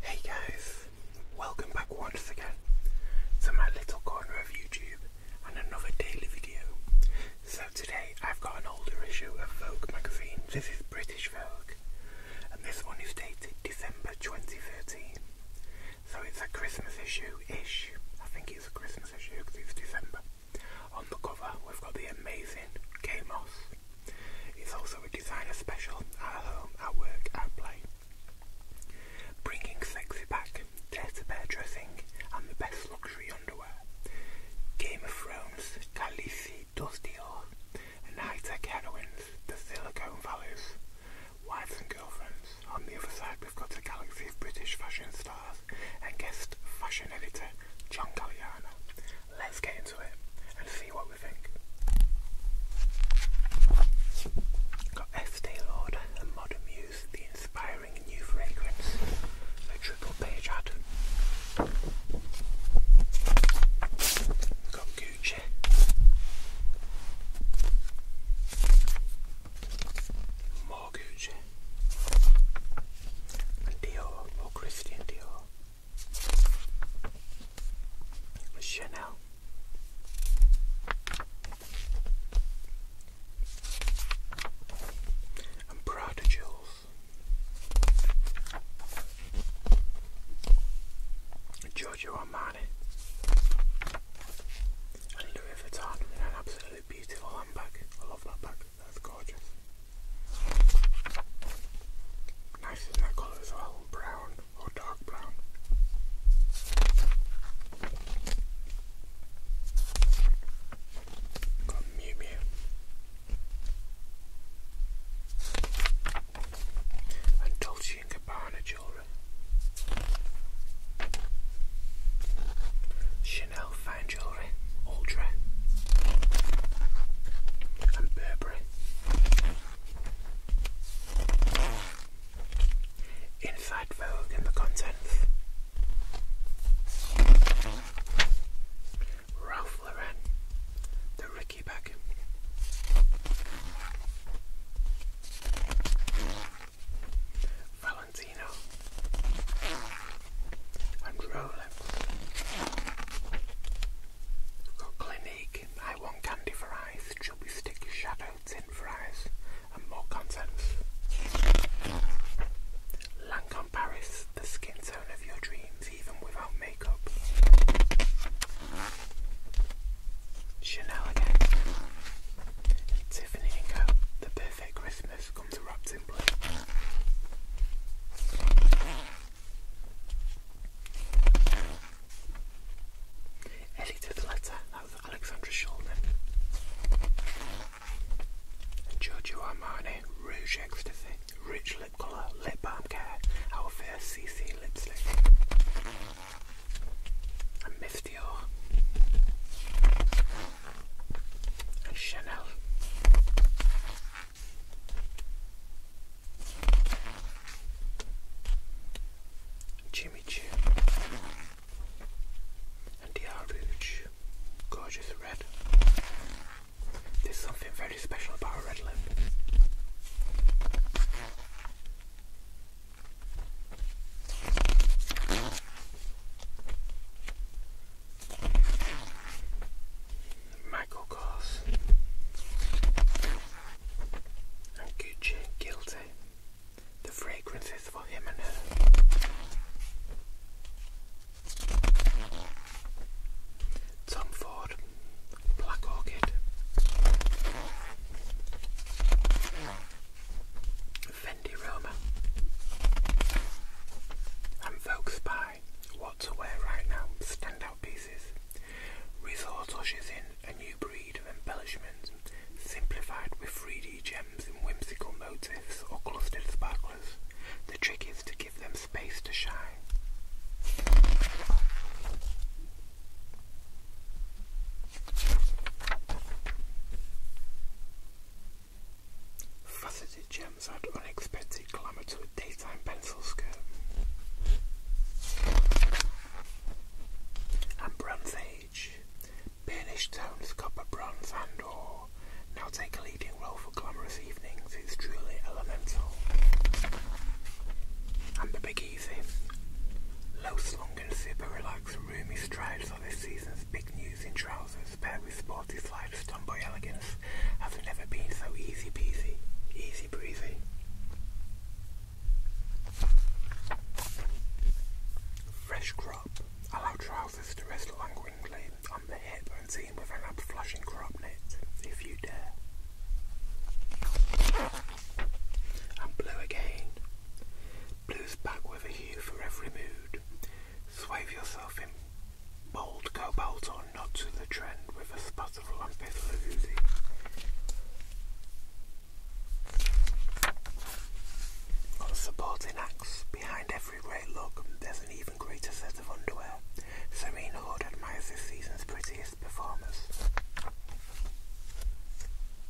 Hey guys, welcome back once again to my little corner of YouTube and another daily video. So today I've got an older issue of Vogue magazine. This is British Vogue and this one is dated December 2013. So it's a Christmas issue-ish. I think it's a Christmas issue because it's December. On the cover, we've got the amazing K Moss. It's also a designer special at home, at work, at play. Bringing sexy back, dirty dressing, and the best luxury underwear. Game of Thrones, Khaleesi does deal, and high tech heroines, the Silicon Valleys, wives and girlfriends. On the other side, we've got a galaxy of British fashion stars and guest fashion editor John Galliano. Let's get into it and see what we think. Got Estee Lauder and Modern Muse, the inspiring new fragrance, a triple page ad. Got Gucci. I'm Dior or Christian Dior Chanel and Prada Jewels Giorgio Armani and Louis Vuitton and an absolute beautiful handbag. I love that bag. That's gorgeous. Nice in that colour as well, brown or dark brown. Got Mew And Dolce & Gabbana jewellery. Chanel fine jewellery, Ultra, and Burberry. Inside Vogue and the contents. Ralph Lauren, the Ricky bag. Valentino and Rolex. Clinique, I want candy for eyes, chubby stick shadow tint for and more contents. Lancome Paris, the skin tone of your dreams, even without makeup. Chanel again. Tiffany & Co. The perfect Christmas comes wrapped in blue. Edited letter, that was Alexandra Shulman. Giorgio Armani Rouge Ecstasy, Rich Lip Colour, Lip Balm Care, our first CC lipstick and Myth Dior and Chanel. Jimmy Choo and DR Rouge, gorgeous red. There's something very special about a red lip. Michael Kors and Guilty. The fragrances for him and her. Tom Ford, Black Orchid. Fendi Roma, and Vogue Spy. What to wear right now? Standout pieces. Resort ushers in a new breed of embellishments, simplified with 3D gems and whimsical motifs or clustered sparklers. The trick is to give them space to shine. Faceted gems add unexpected glamour to a daytime pencil skirt. And Bronze Age. Burnished tones, copper, bronze and ore now take a leading role for glamorous evenings. It's truly elemental. And the Big Easy. Low slung and super relaxed roomy strides for this season's big news in trousers paired with sporty slides, sliders tomboy elegance has never been so easy peasy, easy breezy. Fresh crop allow trousers to rest languidly on the hip and team with an up-flushing crop knit, if you dare. And blue again. Blues back with a hue for every mood. Swathe yourself in bold cobalt or Not to the trend with a spot of lampith Laguzi. On supporting acts, behind every great look, there's an even greater set of underwear. Serena Hood admires this season's prettiest performers.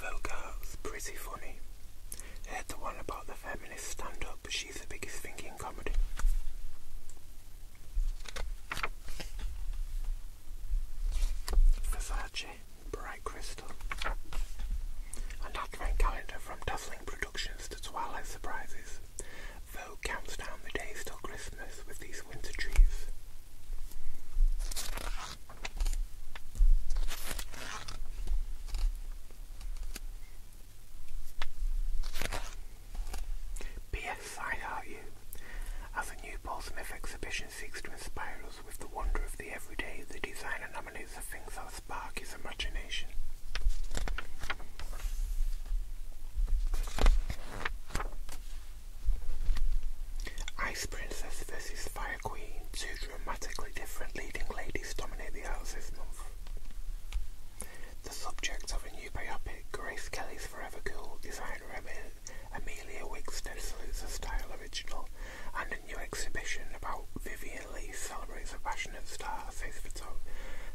Vogue's pretty funny. Heard the one about the feminist stand up, she's the biggest thing in comedy. Versace, Bright Crystal. An advent calendar from Dazzling Productions to Twilight Surprises. Vogue counts down the days till Christmas with these winter trees. P.S. I Heart You. As the new Paul exhibition seeks to inspire us with the wonder of the everyday, the designer nominates the things that spark his imagination. Ice Princess vs Fire Queen, two dramatically different leading ladies dominate the arts this month. The subject of a new biopic, Grace Kelly's Forever Cool, designer Amelia Wigstead salutes a style original, and a new exhibition about Vivian Lee celebrates a passionate star, says photo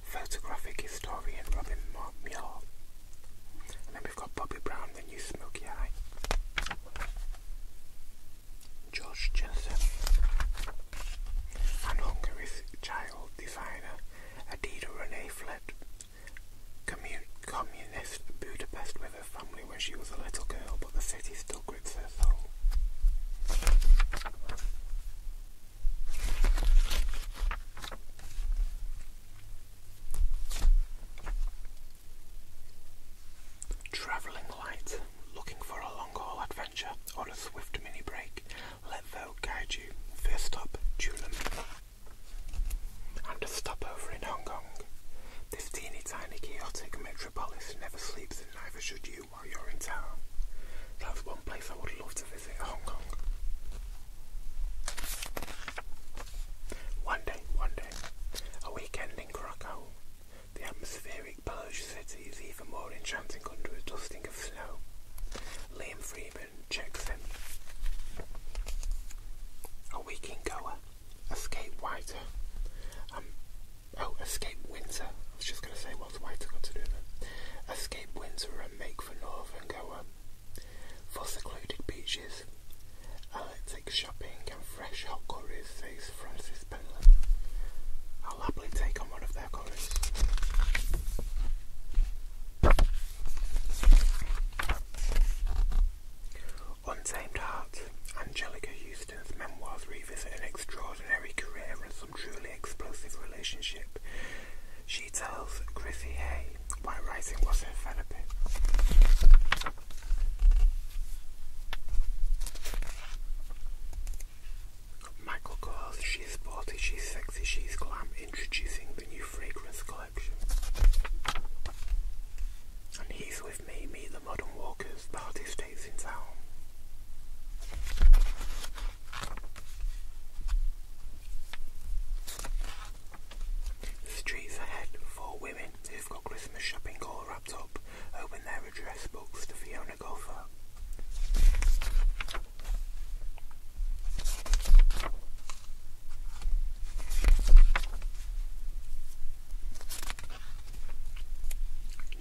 photographic historian Robin Muir. then we've got Bobby Brown, and you smoky eye. George Jensen. And Hungary's child designer Adida Renee fled communist Budapest with her family when she was a little girl, but the city still grips her soul. Travelling light, looking for a long haul adventure or a swift mini break, let Vogue guide you. First stop, Tulum. And a stopover in Hong Kong. This teeny tiny chaotic metropolis never sleeps and neither should you while you're in town. That's one place I would love to visit, Hong Kong. One day, one day, a weekend in Krakow. The atmospheric Polish city is even more enchanting under a dusting of snow. Liam Freeman checks in. A weekend goer, escape whiter. Um, oh, escape winter. I was just going to say what what's whiter got to do with it. Escape winter and make for go on. For secluded beaches, Alec shopping and fresh hot curries, says Francis Penland. I'll happily take on one of their curries. Untamed Hearts, Angelica Houston's memoirs revisit an extraordinary career and some truly explosive relationship. She tells Chrissy Hay my rising wasn't developing. Michael Kors, she's sporty, she's sexy, she's glam, introducing the new fragrance collection. And he's with me, meet the modern walkers, party stays in town. Streets ahead, four women who've got Christmas shopping all wrapped up open their address books to Fiona Gopher.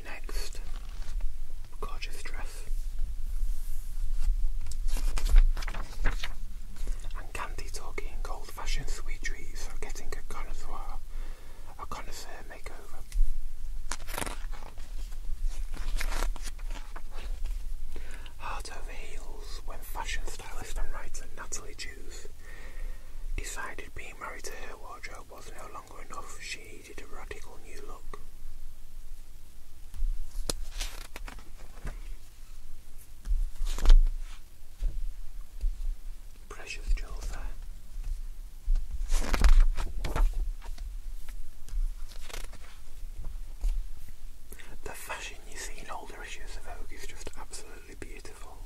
Next, gorgeous dress and candy talking and old fashioned treats are getting a connoisseur, a connoisseur makeover. Heart over heels when fashion stylist and writer Natalie Jews decided being married to her wardrobe was no longer enough, she needed a radical new look. Pressure with Joel The fashion you see in older issues of Vogue is just absolutely beautiful.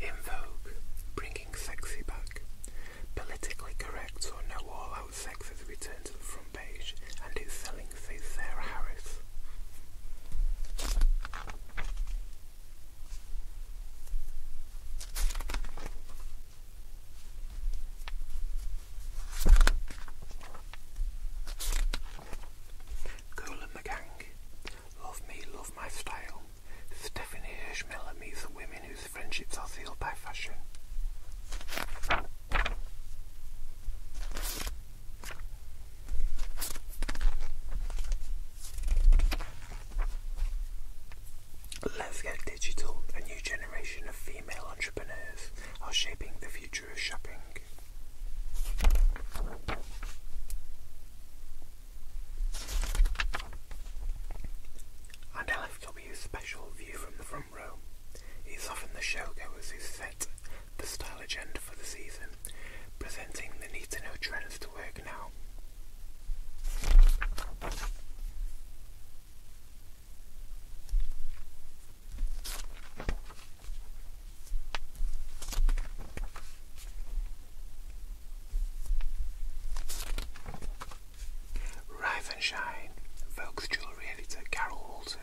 In bringing sexy back. Politically correct or no all-out sex has returned to the front page and it's selling, says Sarah Harris. Cool and Love Me, Love My Style, Stephanie Hirschmiller meets the women whose friendships are sealed by fashion. Let's get digital, a new generation of female entrepreneurs are shaping the future of shopping. An LFW special view from the front row is often the showgoers who set the style agenda for the season, presenting the need to know trends to work now. Rise and Jewellery Editor Carol Walton,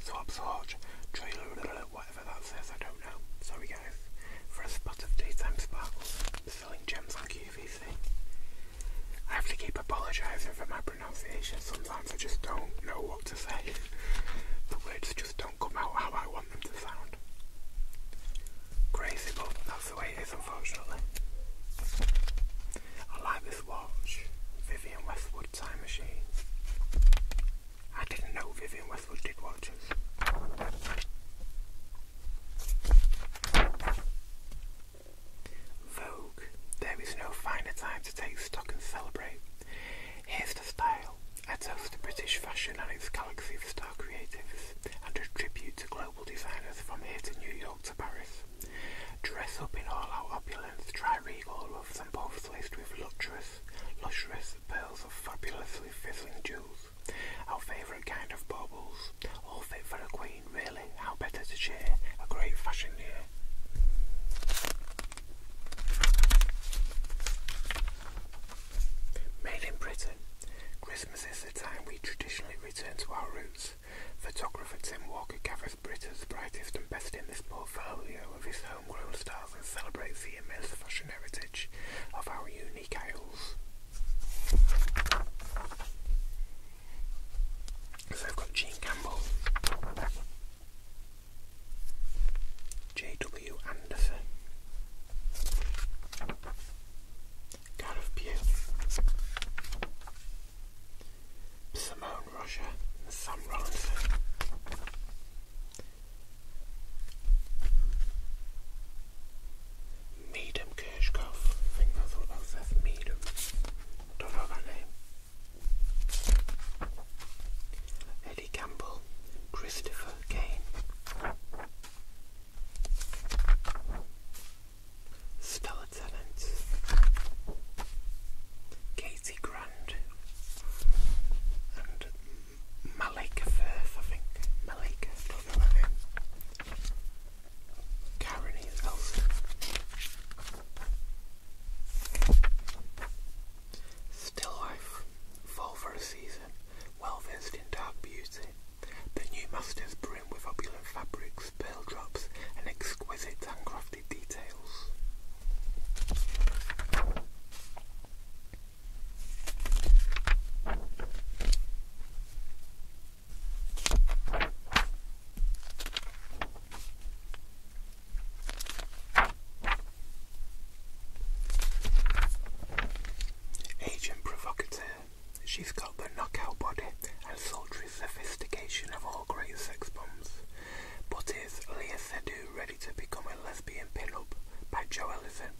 Swab's whatever that says, I don't know. Sorry guys. For a spot of daytime sparkles, selling gems on QVC. I have to keep apologising for my pronunciation. Sometimes I just don't know what to say. The words just don't come out how I want them to sound. Crazy, but that's the way it is, unfortunately. I like this watch, Vivian Westwood Time Machine. I didn't know Vivian Westwood did watches. Vogue. There is no finer time to take stock and celebrate. Here's the style. A toast to British fashion and its galaxy of star creatives, and a tribute to global designers from here to New York to Paris. Dress up in all our opulence, try regal ruffs and puffs laced with luxurious, lustrous pearls of fabulously fizzling jewels. Our favourite kind of baubles, all fit for a queen really, how better to cheer a great fashion year? Made in Britain, Christmas is the time we traditionally return to our roots. Photographer Tim Walker gathers Britain's brightest and best in this portfolio of his homegrown stars and celebrates the immense fashion heritage of our unique isles. So I've got Gene Campbell, J.W. Anderson, Gareth Pugh, Simone Roger, and Sam Medum Kirchhoff. I think I thought about Seth Don't know that name. Eddie Campbell, Christopher Kane. Stella Tennant, Katie Grand, and Malika Firth, I think. Malika, don't know her name. Karen else. Still life, fall for a season, well versed in dark beauty. The new masters brim with opulent fabrics, pearl drops, and exquisite handcrafted details. Agent provocateur, she's got the knockout body and sultry sophistication of all great sex bombs. But is Leah Sedu ready to become a lesbian pin-up by Joe Ellison?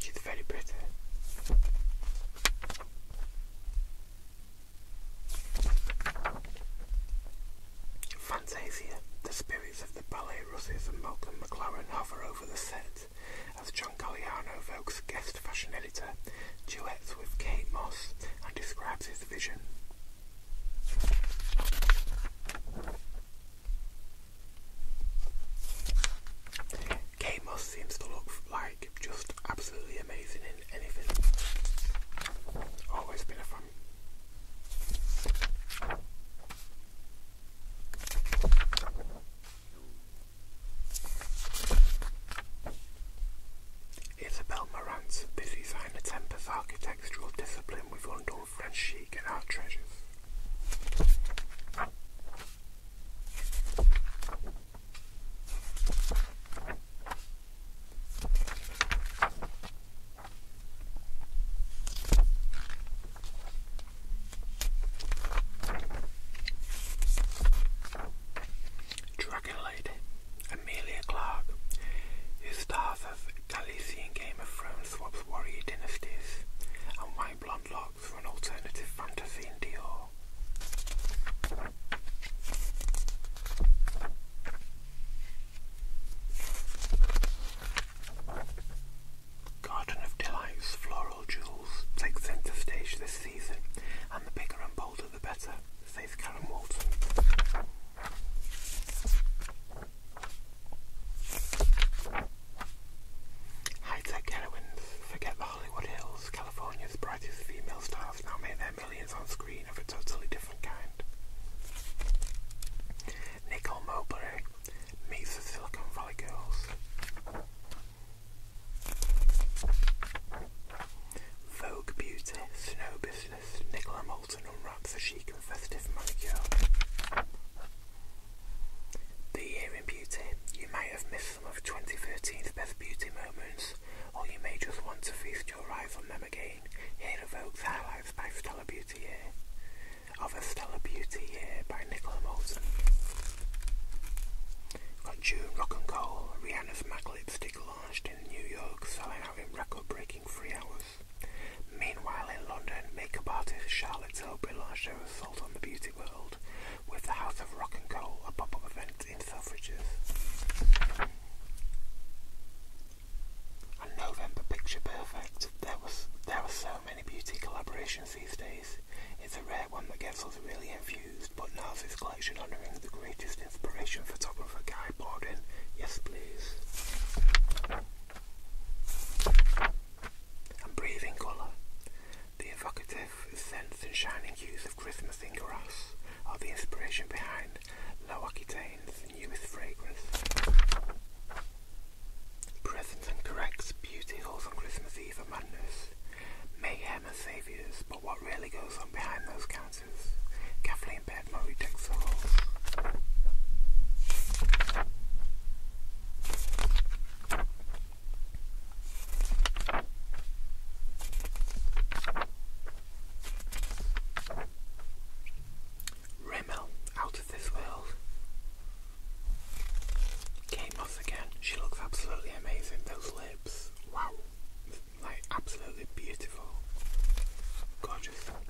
She's very pretty. Fantasia, the spirits of the ballet Russes and Malcolm McLaren hover over the set as John Galliano evokes guest fashion editor, duets with Kate Moss, and describes his vision. Kate Moss seems to look like just absolutely amazing in anything. Always been a fan. Isabelle Morant, busy sign a Tempest architectural discipline we with London both and our treasures. Dragon Lady Amelia Clark, who stars Galician Game of Thrones swaps warrior dynasties, and white blonde locks for an alternative fantasy in Dior. Garden of Delight's floral jewels take centre stage this season, and the bigger and bolder the better, says Karen Walton. High-tech heroines forget the Hollywood Hills. California's brightest female stars now make their millions on screen of a totally different kind. Nicole Mowbray meets the Silicon Valley girls. Vogue Beauty, Snow Business, Nicola Moulton unwraps a chic and festive manicure. The Year in Beauty. You may have missed some of 2013's best beauty moments, or you may just want to feast your eyes on them again. Here are Vogue's highlights by Stella Beauty Year. Of a Stella Beauty Year by Nicola Moulton. Got June Rock and Roll, Rihanna's MAC lipstick launched in New York, selling out in record-breaking three hours. Meanwhile, in London, makeup artist Charlotte Tilbury launched her assault on the beauty world with the House of Rock and Coal, a pop up event in Selfridges. And November Picture Perfect. There was there are so many beauty collaborations these days. It's a rare one that gets us really infused. but NARS's collection honouring the greatest inspiration photographer Guy Borden. Yes please and breathing colour. The evocative scents and shining hues of Christmas in grass are the inspiration behind Low Aquitaine's newest fragrance. Presents and corrects beauty halls on Christmas Eve are madness, mayhem and saviours, but what really goes on behind those counters? Kathleen Rimmel, out of this world. Kate again. She looks absolutely amazing. Those lips, wow, like absolutely beautiful, gorgeous.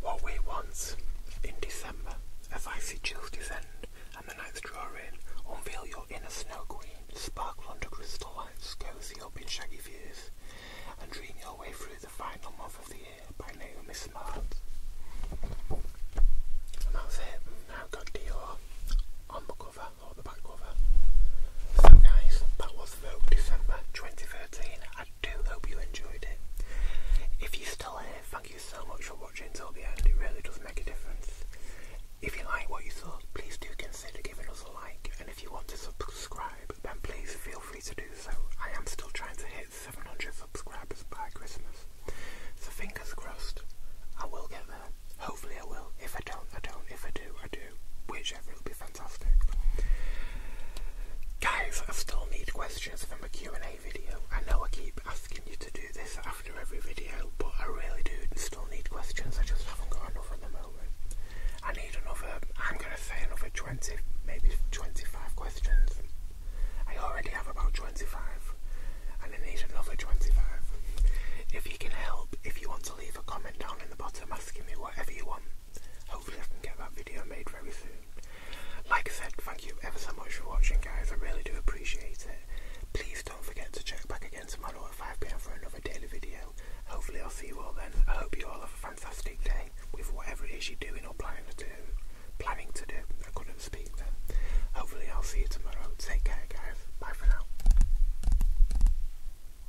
What we want in December, as icy chills descend and the nights draw in, unveil your inner snow queen, sparkle under crystal lights, cozy up in shaggy views, and dream your way through the final month of the year by Naomi Smart. And that's it. Now I've got on the cover or the back cover. So guys, that was December 2013. I do hope you enjoyed it. If you're still here, thank you so much for watching till the end. It really does make a difference. If you like what you saw, please do consider giving us a like. And if you want to subscribe, then please feel free to do so. I am still trying to hit 700 subscribers by Christmas. So fingers crossed, I will get there. Hopefully I will. If I don't, I don't. If I do, I do. Whichever will be fine fantastic. Guys, I still need questions for my Q&A video. I know I keep asking you to do this after every video, but I really do still need questions. I just haven't got enough at the moment. I need another, I'm going to say another 20, maybe 25 questions. I already have about 25, and I need another 25. If you can help, if you want to leave a comment down in the bottom asking me whatever you want, hopefully I can get that video made very soon. Like I said, thank you ever so much for watching guys, I really do appreciate it. Please don't forget to check back again tomorrow at 5pm for another daily video. Hopefully I'll see you all then. I hope you all have a fantastic day with whatever it is you're doing or planning to do. Planning to do. I couldn't speak then. Hopefully I'll see you tomorrow. Take care guys. Bye for now.